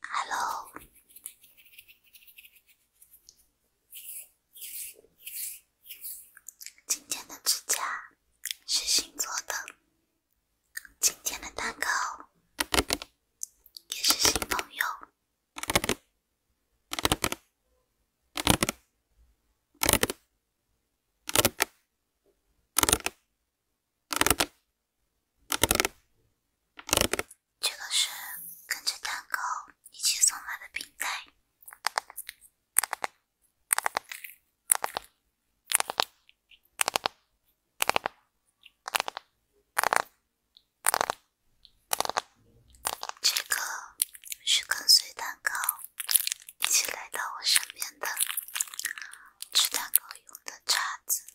Hello，今天的指甲是新做的，今天的蛋糕也是新朋友。这个是跟着蛋糕一起送来的冰袋。这个是跟随蛋糕一起来到我身边的吃蛋糕用的叉子。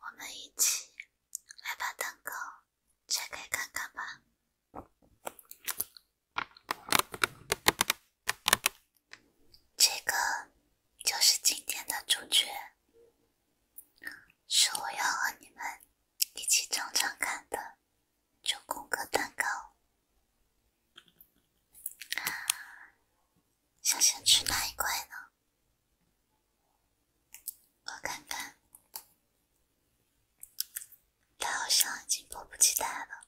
我们一起来把蛋糕。拆开看看吧，这个就是今天的主角，是我要和你们一起尝尝看的九宫格蛋糕。想先吃哪一块呢？我看看。他好像已经迫不及待了，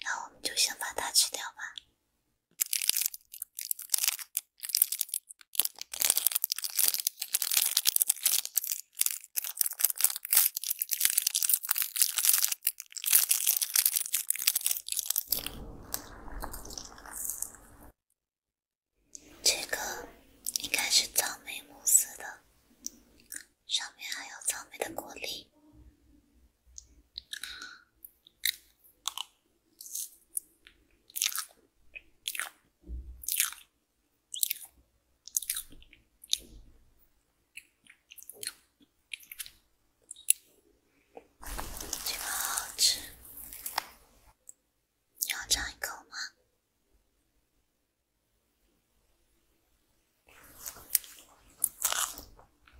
那我们就先把它吃掉吧。这个应该是草莓慕斯的，上面还有草莓的果粒，这个好好吃。你要尝一口吗？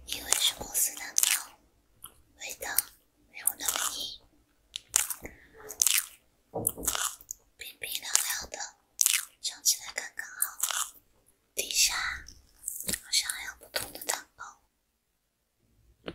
因为是慕斯蛋糕，味道没有那么硬，冰冰凉凉的，尝起来刚刚好。底下好像还有不同的蛋糕。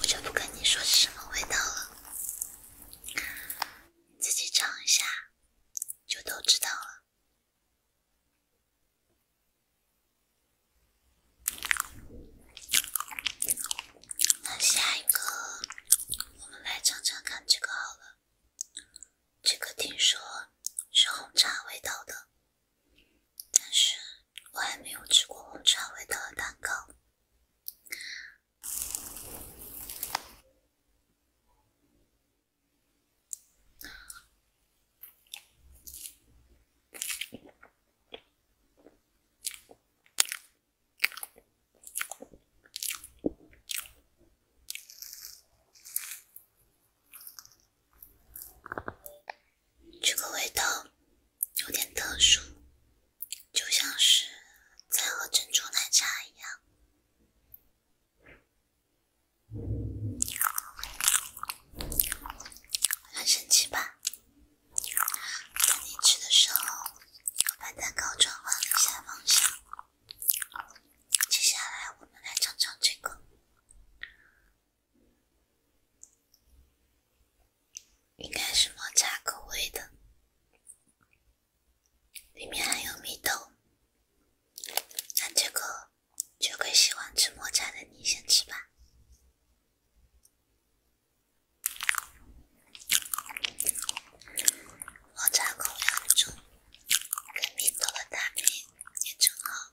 我就不跟你说是什么味道了，自己尝一下，就都知道了。那下一个，我们来尝尝看这个好了，这个听说是红茶味道的。但是我还没有吃过红茶味的蛋糕。这个味道有点特殊，就像是在喝珍珠奶茶一样。很神奇吧？在你吃的时候，我把蛋糕转换了一下方向。接下来，我们来尝尝这个。应该是抹茶口味的，里面还有蜜豆。那这个，最会喜欢吃抹茶的你先吃吧。抹茶口味香猪，有米豆的大米。也正好，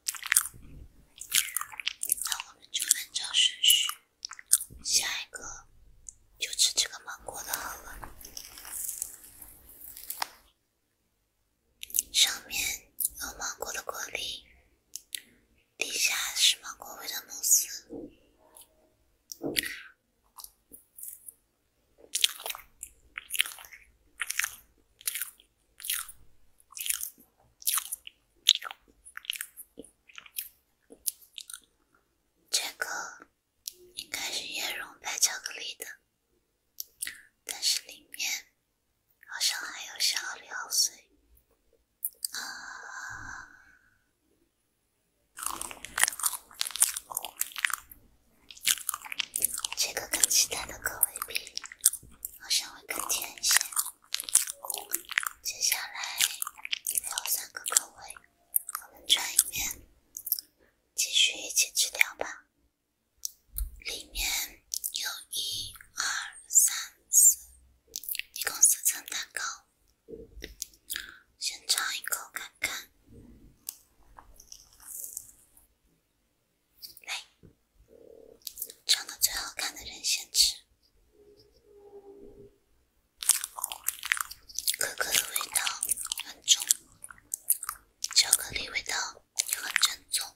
那我们就按照顺序，下一个就吃这个芒果的好了。上面有芒果的果粒，底下是芒果味的慕斯。这个应该是椰蓉白巧克力的，但是里面好像还有巧料碎。啊，这个跟其他的口味比好像会更甜一些。接下来还有三个口味，我们转一面，继续一起吃掉吧。里面有一二三四，一共四层蛋糕，先尝一口看看。来。长得最好看的人先吃。可可的味道很重，巧克力味道也很正宗。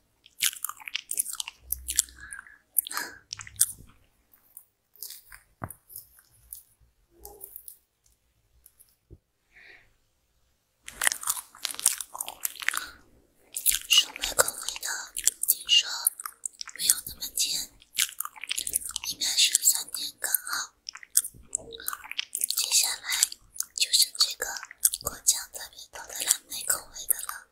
草莓口味的，听说没有那么甜，应该是酸甜刚好。接下来就剩这个果酱特别多的蓝莓口味的了。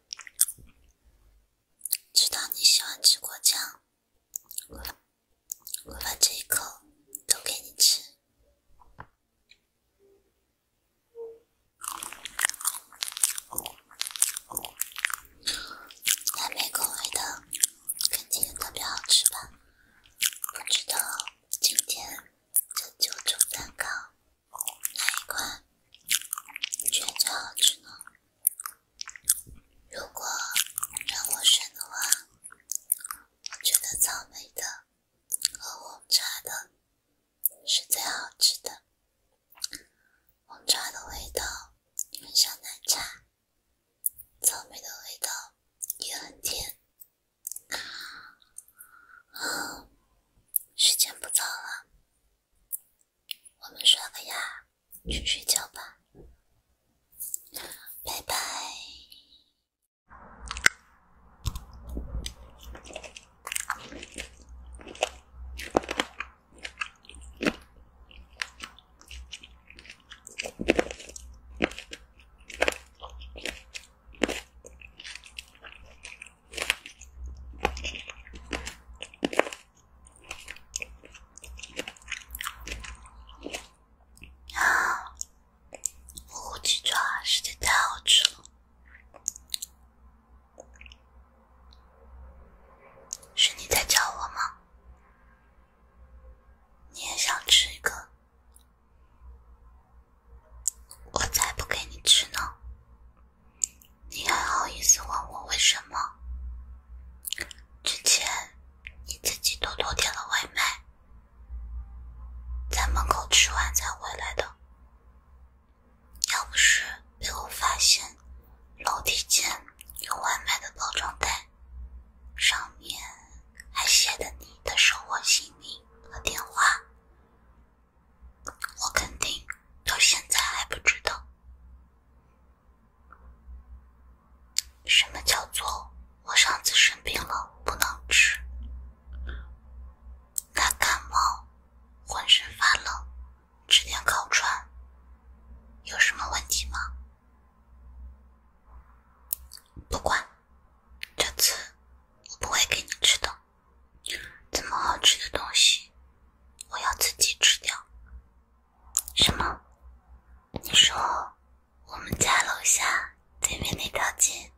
知道你喜欢吃果酱，我把这一口都给你吃。蓝莓口味的肯定特别好吃吧？不知道今天这九种蛋糕哪一款你觉得最好吃呢？如果让我选的话，我觉得草莓的和红茶的。是最好吃的，红茶的味道很像奶茶，草莓的味道也很甜。时间不早了，我们刷个牙去睡觉吧，拜拜。啊！我鸡爪实在太好吃。了。是你在叫我吗？你也想吃一个？我才不给你吃呢！你还好意思问我为什么？之前你自己偷偷点了外卖，在门口吃完才回来的。要不是被我发现楼梯间有外卖的包装袋，上面还写的你的生活姓名和电话，我肯定到现在还不知道什么叫做我上次生病了不能吃，他感冒，浑身发冷。吃点烤串，有什么问题吗？不管，这次我不会给你吃的。这么好吃的东西，我要自己吃掉。什么？你说我们家楼下对面那条街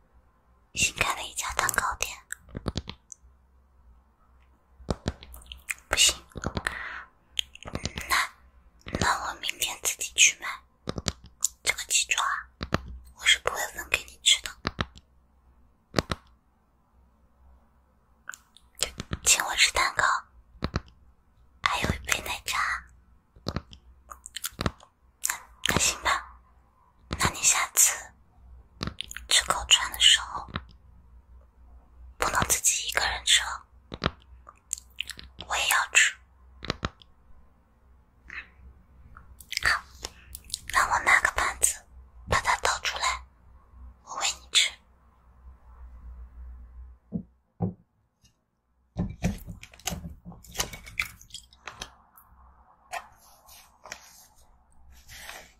新开了一家蛋糕店？不行，那那我明天自己去买这个鸡爪，我是不会分给你吃的。请我吃蛋糕，还有一杯奶茶，那那行吧？那你下次。吃烤串的时候，不能自己一个人吃，我也要吃。好，那我拿个盘子，把它倒出来，我喂你吃。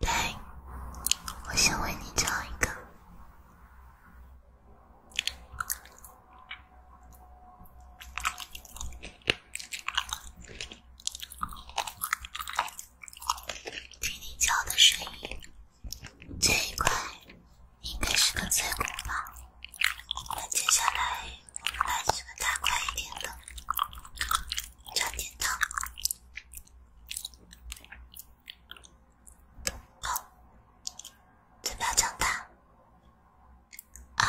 来，我先为你嚼一个。听你嚼的声音，这一块应该是个脆骨吧？那接下来。我们来吃个大块一点的，加点汤。好，嘴巴张大。啊！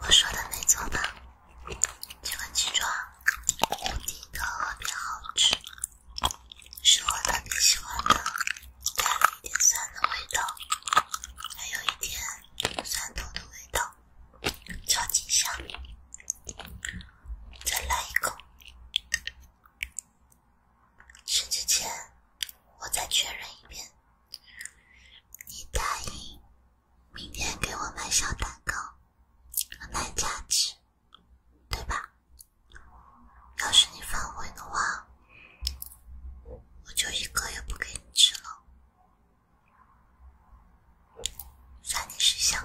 我说的没错吧？这个鸡爪，无敌的，特别好吃，是我特别喜欢的，带了一点酸的味道，还有一点酸头的味道，超级香。再来一口。吃之前，我再确认一遍，你答应。明天给我买小蛋糕，和奶茶吃，对吧？要是你反悔的话，我就一个也不给你吃了。算你是想。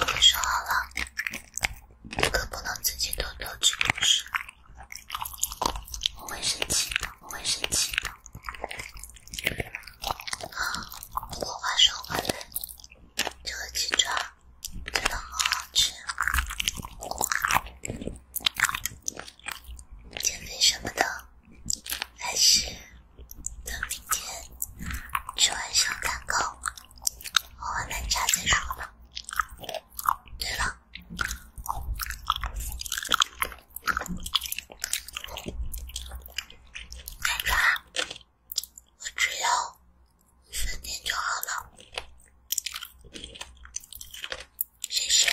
我说好了，可不能自己偷偷吃零食。我会生气的，我会生气的。好，我把话说完了。这个鸡爪真的好好吃，减肥什么的，还是等明天吃完小蛋糕。喝完奶茶再说吧。对了，奶茶，我只要一点点就好了，谢谢。